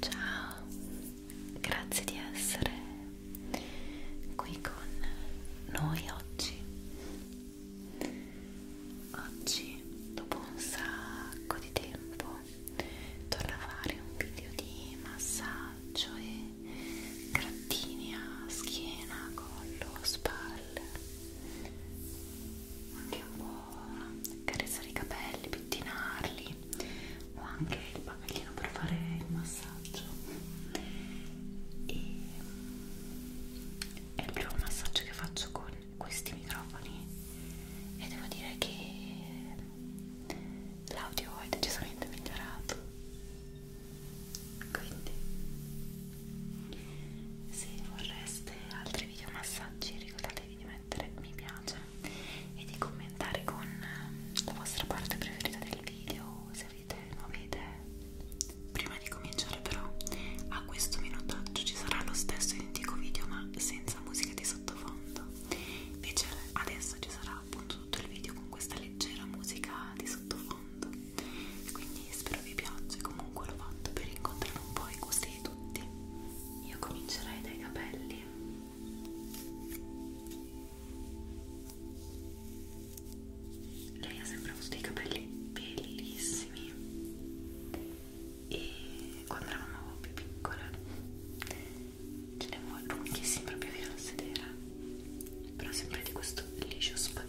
Ciao, grazie di essere qui con noi oggi. Oggi, dopo un sacco di tempo, torno a fare un video di massaggio e grattini a schiena, collo, spalle anche un po' carezzare i capelli, pettinarli o anche il bagaglino per fare il massaggio e è il primo massaggio che faccio con questi microfoni e devo dire che l'audio è decisamente migliorato quindi se vorreste altri video massaggi ricordatevi di mettere mi piace e di commentare con la vostra parte preferita del video se avete nuove idee prima di cominciare però a questo minutaggio ci sarà lo stesso identico video ma senza musica di sottofondo invece adesso ci sarà appunto tutto il video con questa leggera musica di sottofondo quindi spero vi piaccia comunque l'ho fatto per incontrare un po' i gusti di tutti io comincerei dai capelli lei ha sempre avuto dei capelli bellissimi e quando eravamo più piccole ce ne avevo lunghissimi proprio fino a sedere però sempre di questo liscio spaghetto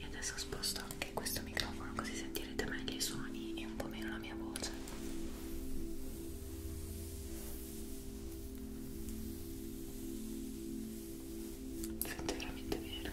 e adesso sposto anche questo microfono così sentirete meglio i suoni e un po' meno la mia voce sento veramente bene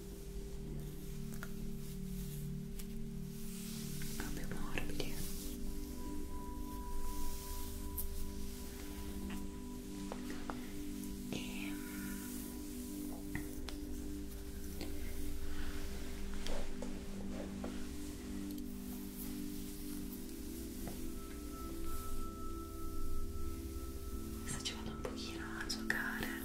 proprio morbidi e Adesso mm, ci vado un pochino a giocare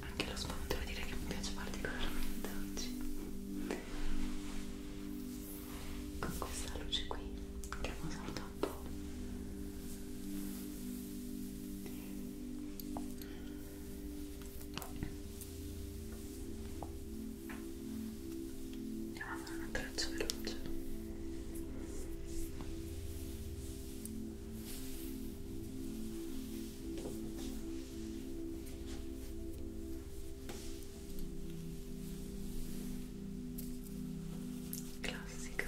Anche lo sfondo devo dire che mi piace particolarmente oggi con questa luce qui che mi salta un po' Andiamo a fare un attrezzo veloce. Classica.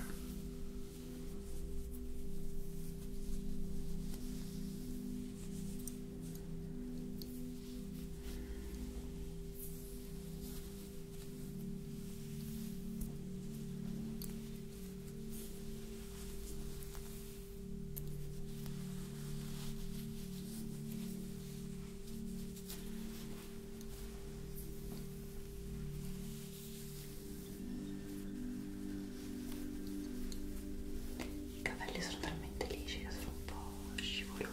I capelli sono talmente lisci che sono un po' scivolosi.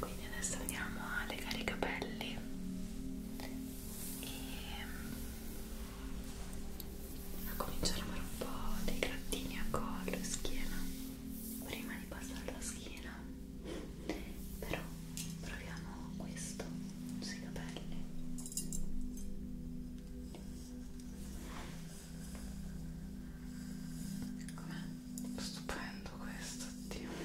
Quindi adesso andiamo a legare i capelli e a cominciare a fare un po' dei grattini a collo e schiena prima di passare alla schiena però proviamo questo sui capelli com'è? stupendo questo Dio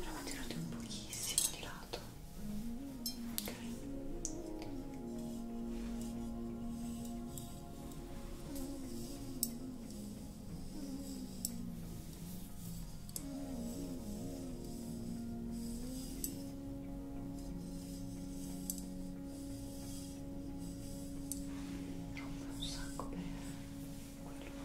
Prova a tirarti un pochissimo di lato. Ok. Ok, rompe un sacco per quello ripetiamo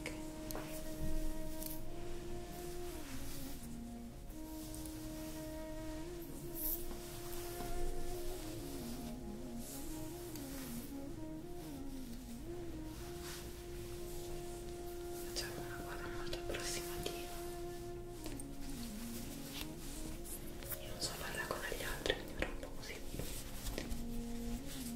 Okay. Facciamo una cosa molto approssimativa. Io non so farla con gli altri, quindi farò un po' così.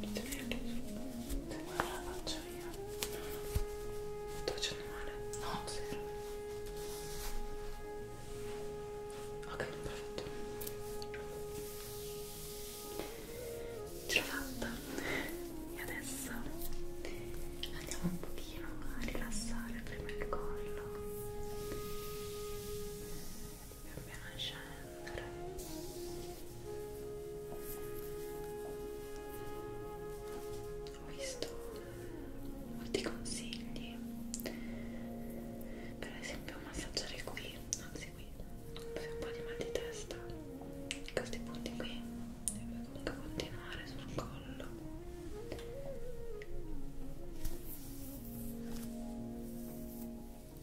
Guarda la faccia mia. Sto facendo male? No, zero. Ok, perfetto. Ce l'ho fatta. E adesso andiamo un pochino a rilassare prima il collo pian piano scendere ho visto molti consigli per esempio massaggiare qui anzi qui se un po' di mal di testa questi punti qui e poi comunque continuare sul collo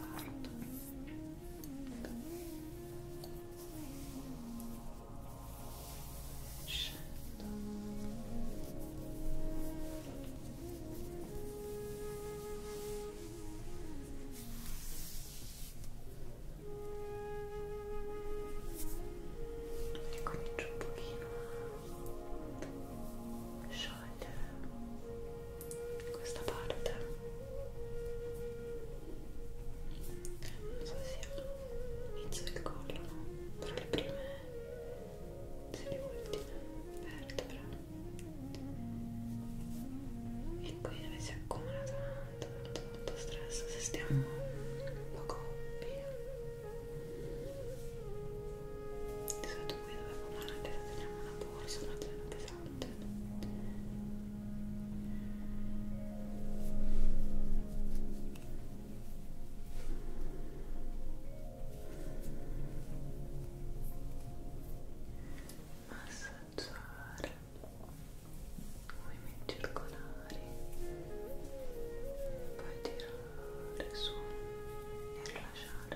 Carpardo. Scendo. E comincio un pochino a sciogliere questa parte non so se sia l'inizio del collo no? tra le prime se le ultime vertebre e qui dove si accumula tanto tanto tanto stress se stiamo un po' coppi di solito qui dove andare teniamo una borsa una zaina pesante tutto massaggiare movimenti circolari poi tirare su e rilasciare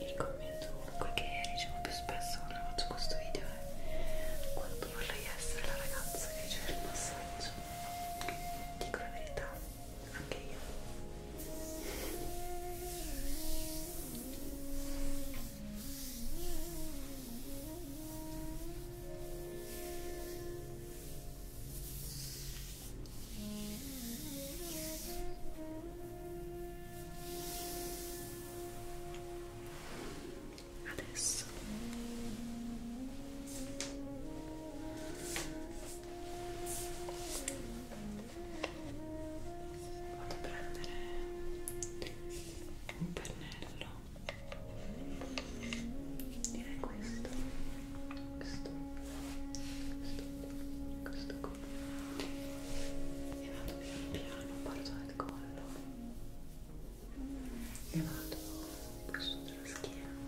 il commento comunque che ricevo più spesso quando faccio questo video è quanto vorrei essere la ragazza che riceve il massaggio dico la verità anche io Adesso vado a prendere un pennello direi questo questo, questo, questo qua e vado piano piano, parto dal collo e vado più sotto la schiena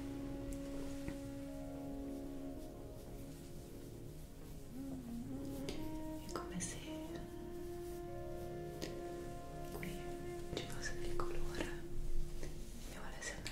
è come se qui ci fosse del colore e volesse andare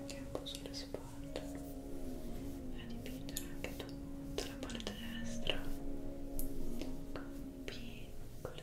anche un po' sulle spalle a dipingere anche tutta la parte destra con piccole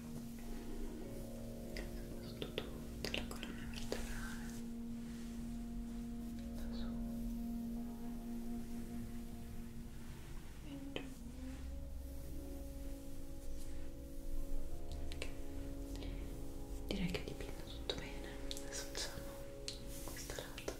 sotto tutta la colonna vertebrale da su e giù ok direi che dipinto tutto bene adesso facciamo questo lato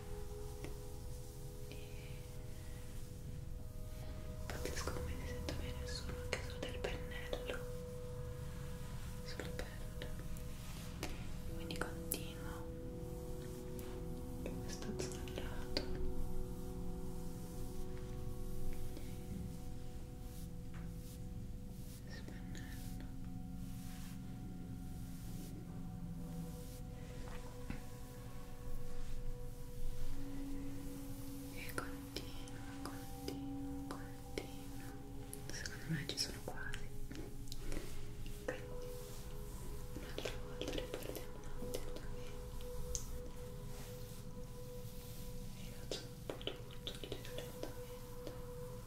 Pazzesco come si sento bene solo anche solo del pennello sul pelle quindi continuo questo zollato spennello e continua, continua, continua secondo me ci sono quasi quindi un'altra volta ripartiamo un attimo da me e faccio un po' tutto lentamente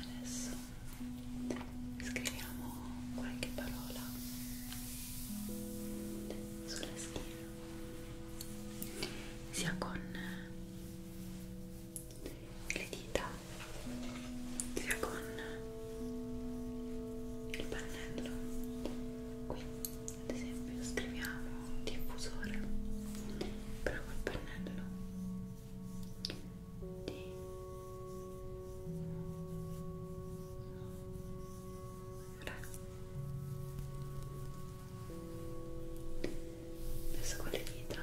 Adesso scriviamo qualche parola sulla schiena sia con le dita sia con il pannello qui ad esempio scriviamo diffusore però col pannello di adesso con le dita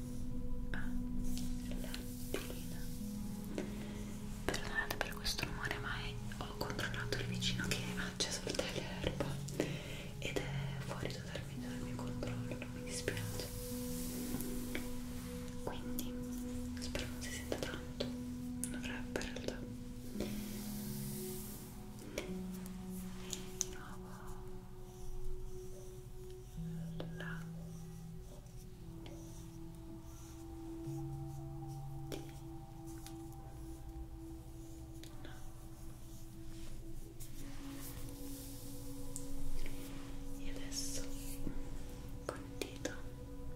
Ah, lattina perdonate per questo rumore ma è, ho controllato il vicino che ha acceso il taglierba ed è fuori totalmente dal mio controllo mi dispiace quindi spero non si senta tanto non dovrebbe in realtà di nuovo la di e adesso col dito a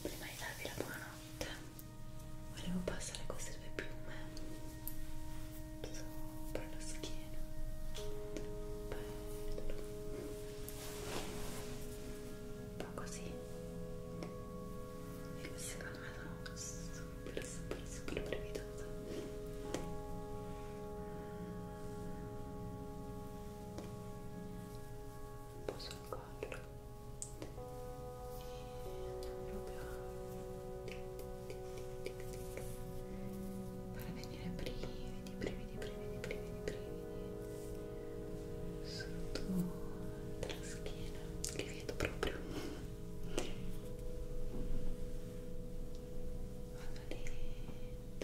prima di darvi la buonanotte volevo passare queste due piume sopra la schiena bello un po' così e secondo me sono super super super brevidose un po' sul collo e proprio far venire brividi, brividi, brividi, brividi, brividi sotto la schiena li vedo proprio vado lento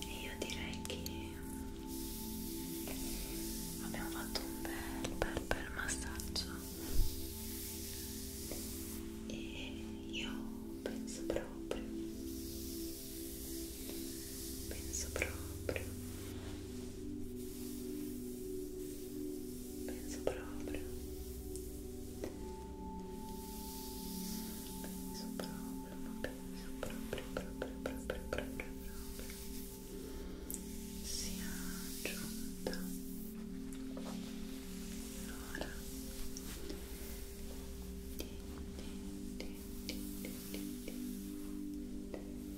e io direi che abbiamo fatto un bel bel bel massaggio e io penso proprio penso proprio penso proprio penso proprio ma penso proprio proprio proprio proprio proprio sia giunta l'ora di di di di di di di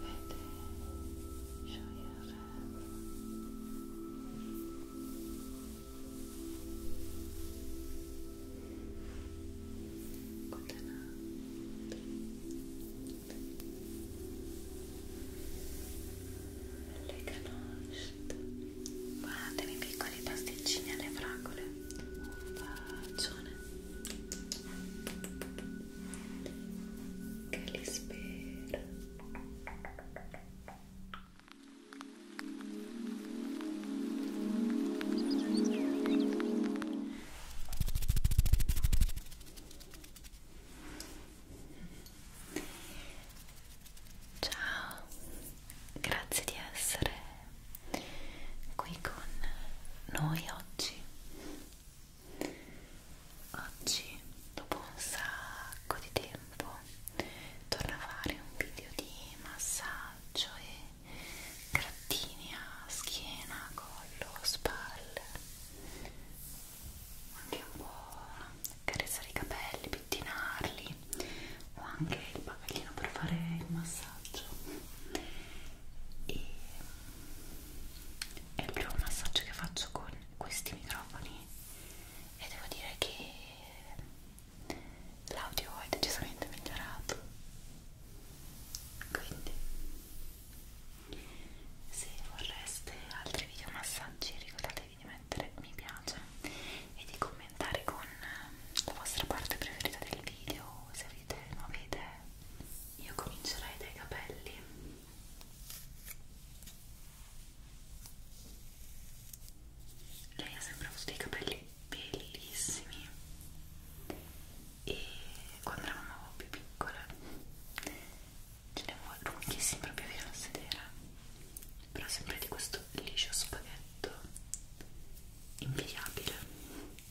Vede, sciogliere. Contenante. Le canoste. Guardate i piccoli pasticcini alle fragole. Un bacione che li spero ciao grazie di essere qui con noi oggi Oggi, dopo un sacco di tempo, torno a fare un video di massaggio e grattini a schiena, collo, spalle, anche un po' carezzare i capelli, pettinarli, o anche il bagaglino per fare il massaggio e è il primo massaggio che faccio con questi microfoni e devo dire che l'audio è decisamente migliorato quindi se vorreste altri video massaggi ricordatevi di mettere mi piace e di commentare con la vostra parte preferita del video se avete nuove idee io comincerei dai capelli lei ha sempre avuto dei capelli bellissimi e quando eravamo più piccole ce ne avevo lunghissimi proprio fino a sedere però sempre di questo liscio spaghetto invidiabile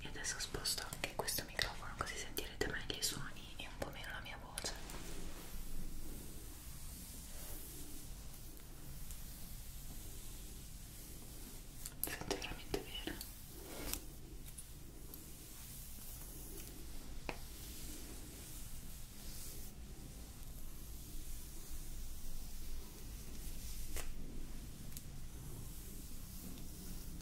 e adesso sposto anche questo microfono così sentirete meglio i suoni e un po' meno la mia voce sento veramente bene Ecco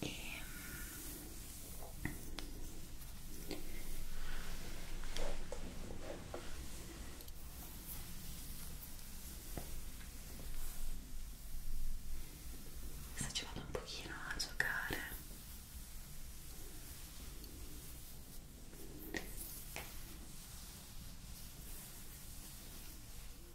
e sta ci vado un pochino a giocare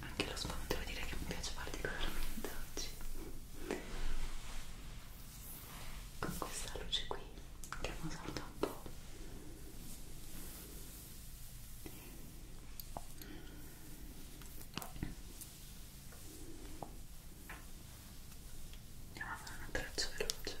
anche lo spam devo dire che mi piace particolarmente oggi con questa luce qui che mi salta un po' andiamo a fare un attrezzo veloce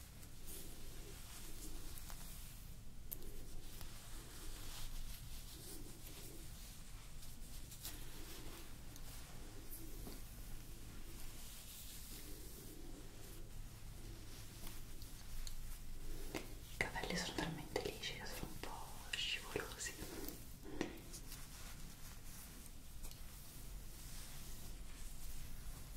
I capelli sono talmente lisci che sono un po' scivolosi.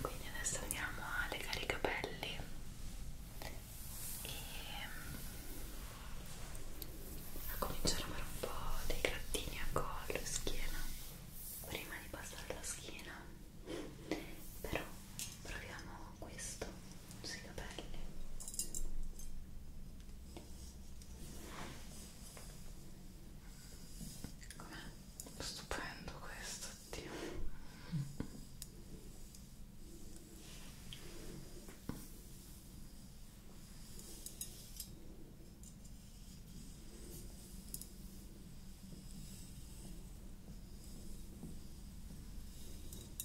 quindi adesso andiamo a legare i capelli e mm, a cominciare a fare un po' dei grattini a collo e schiena prima di passare alla schiena però proviamo questo sui capelli Com'è? Stupendo questo, Dio.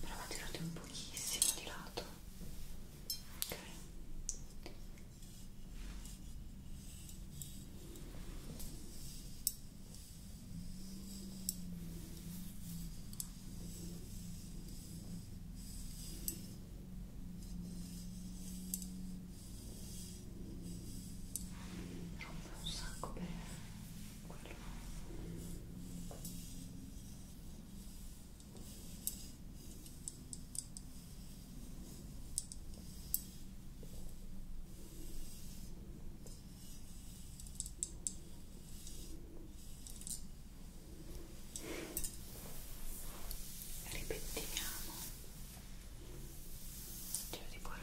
Prova a tirarti un pochissimo di lato. Ok. Rompe un sacco per Ripetiamo. Giro di cuore.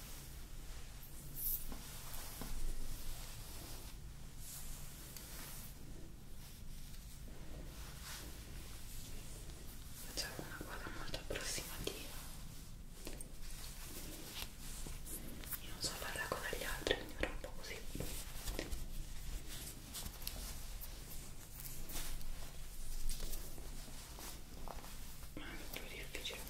Facciamo una cosa molto approssimativa. Io non so farla con gli altri, quindi farò un po' così. Ma è più difficile.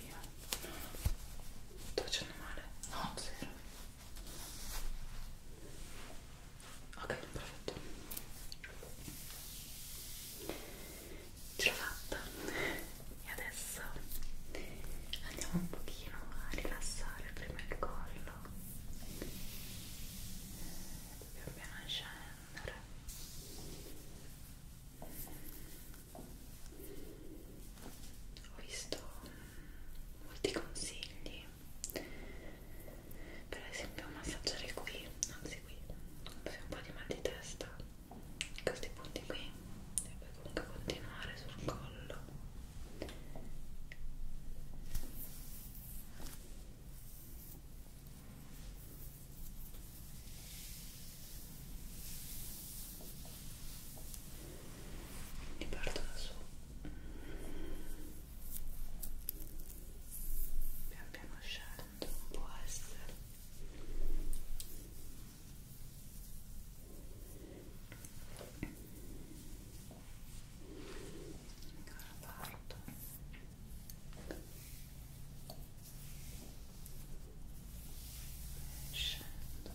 io. No, no. Sto facendo male? No, zero. Ok, perfetto. Ce l'ho fatta. E adesso andiamo un pochino a rilassare prima il collo. Dobbiamo piano scendere ho visto molti consigli per esempio massaggiare qui anzi qui se un po' di mal di testa questi punti qui e poi comunque continuare sul collo quindi parto da su pian piano scendo può essere ancora parto scendo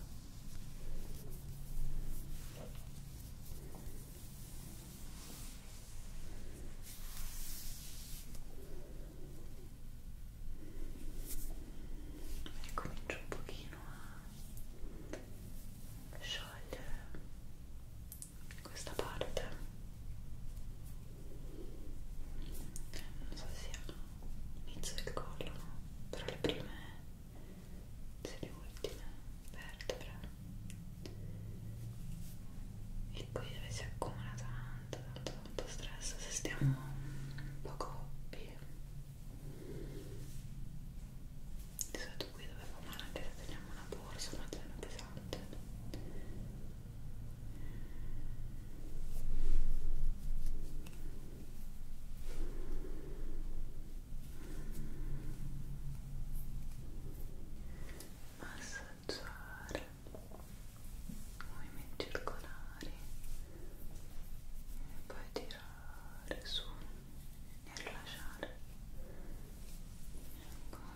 ricomincio un pochino a sciogliere questa parte non so se sia inizio del collo, però le prime, se le ultime vertebre e qui dove si accumula tanto, tanto, tanto stress se stiamo un po' coppi di solito qui dove fa male anche se teniamo una borsa, una tenda pesante massaggiare movimenti circolari e poi tirare su e rilasciare e ancora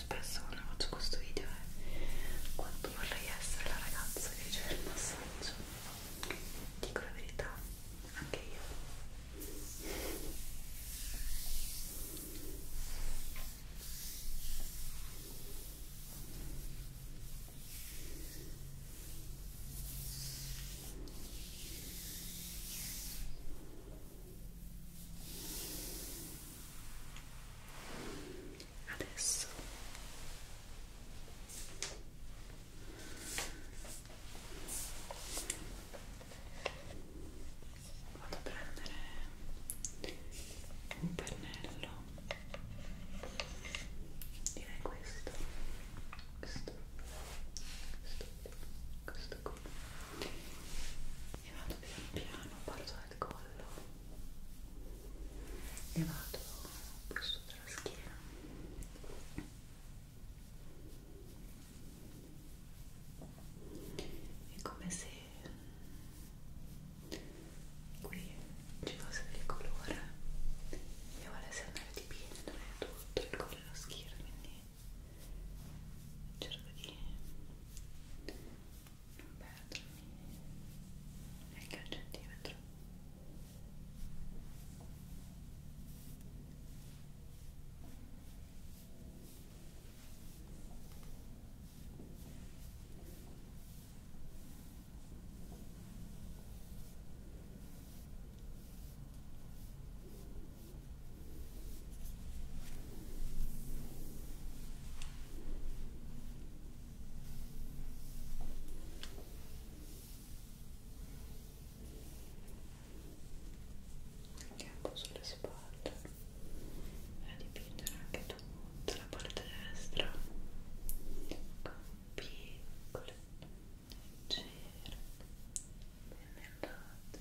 più spesso quando faccio questo video è quanto vorrei essere la ragazza che riceve il massaggio dico la verità anche io adesso vado a prendere un pennello direi questo questo questo questo qui e vado pian piano parto dal collo e vado più su della schiena è come se qui ci fosse del colore e volesse andare di pieno tutto il collo schiro quindi cerco di non perdermi neanche un centimetro Bene, anche un po' sulle spalle e a dipingere anche tutta la parte destra con piccole cere ben mercate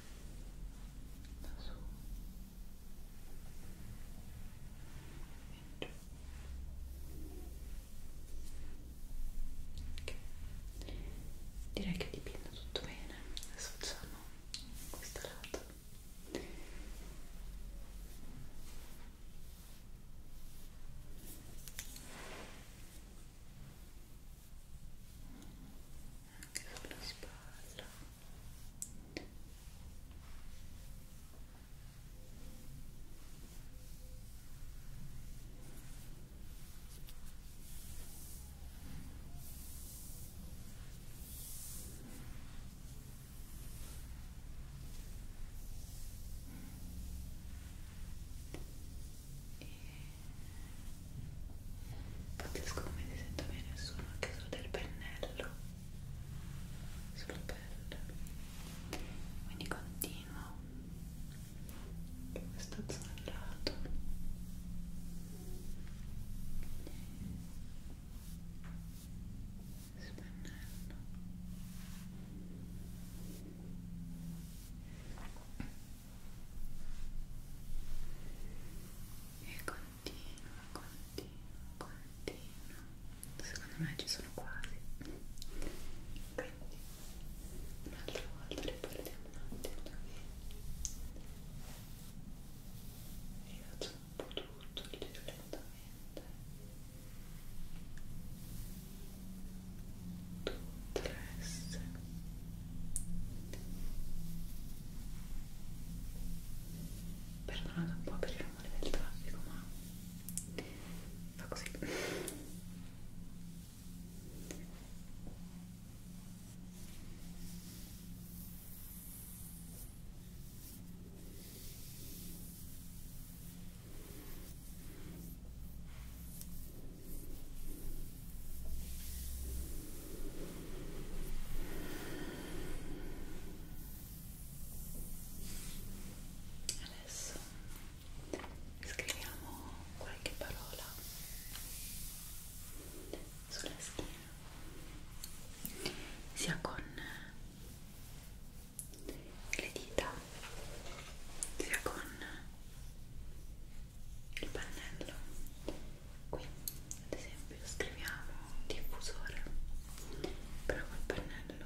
da su e giù okay. direi che dipinto tutto bene adesso facciamo questo lato ok anche sulla spalla e Pazzesco come si sento bene il suono anche solo del pennello sulla pelle quindi continuo questo zollato spennello e continua, continua, continua secondo me ci sono quasi quindi un'altra volta ripartiamo un attimo da me e faccio un po' tutto il giro lentamente tutte le S Perdonate un po' per il rumore del traffico, ma fa così. Ora Adesso scriviamo qualche parola sulla schiena sia con le dita sia con il pannello qui ad esempio scriviamo diffusore però col pannello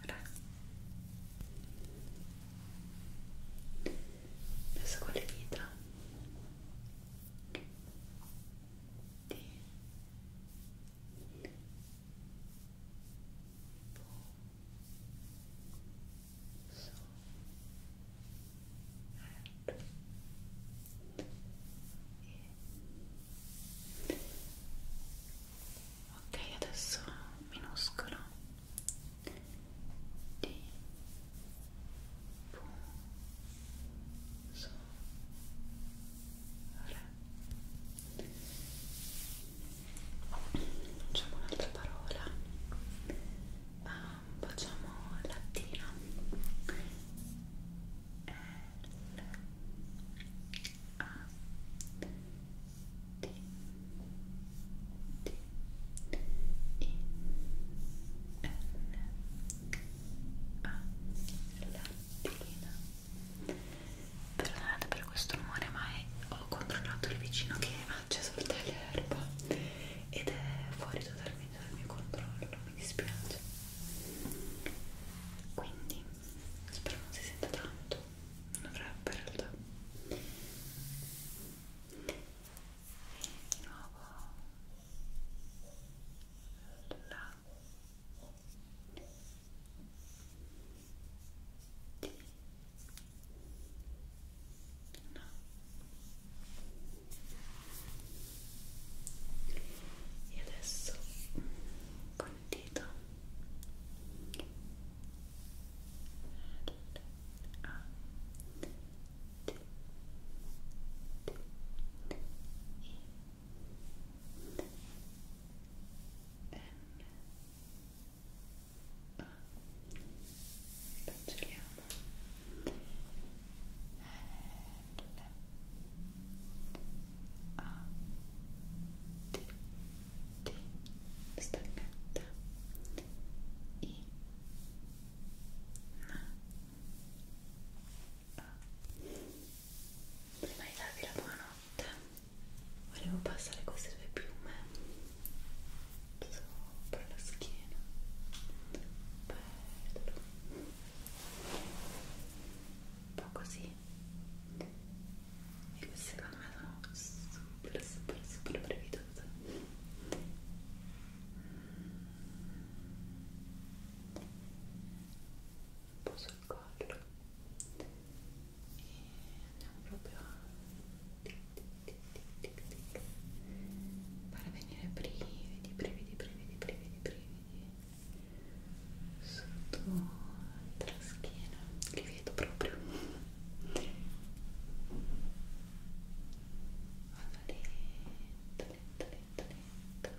di adesso con le dita di Ok, adesso minuscolo di P, so, re facciamo un'altra parola um, facciamo lattina L A T T I N A lattina Perdonate per questo rumore, ma è, ho controllato il vicino che ha acceso il taglierba ed è fuori totalmente dal mio controllo, mi dispiace. Quindi spero non si senta tanto, non dovrebbe in realtà. E di nuovo la no. e adesso con il dito L A D D I N A cancelliamo L A T T staccata I N A prima di darvi la buonanotte volevo passare queste due piume sopra la schiena bello un po' così e queste secondo me sono super super super brevidose un po' sul collo e andiamo proprio a tic, tic, tic, tic, tic. far venire brividi, brividi, brividi, brividi, brividi sotto la schiena, li vedo proprio vado lento, lento, lento, lento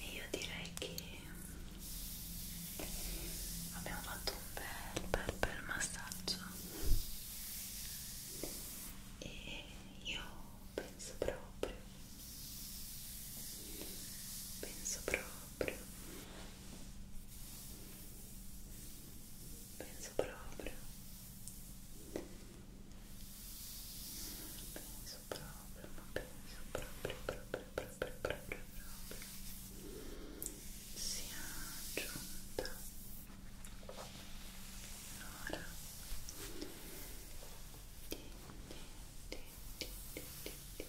e io direi che abbiamo fatto un bel bel bel massaggio e io penso proprio penso proprio penso proprio penso proprio, ma penso proprio, proprio, proprio, proprio, proprio sia giunta l'ora di, di, di, di, di, di, di passare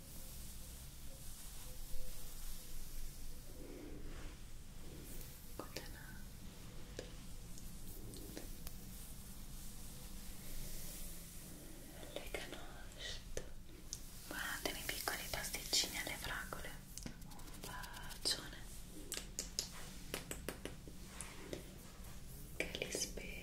le canosce guardate i piccoli pasticcini alle fragole un bacione che li spera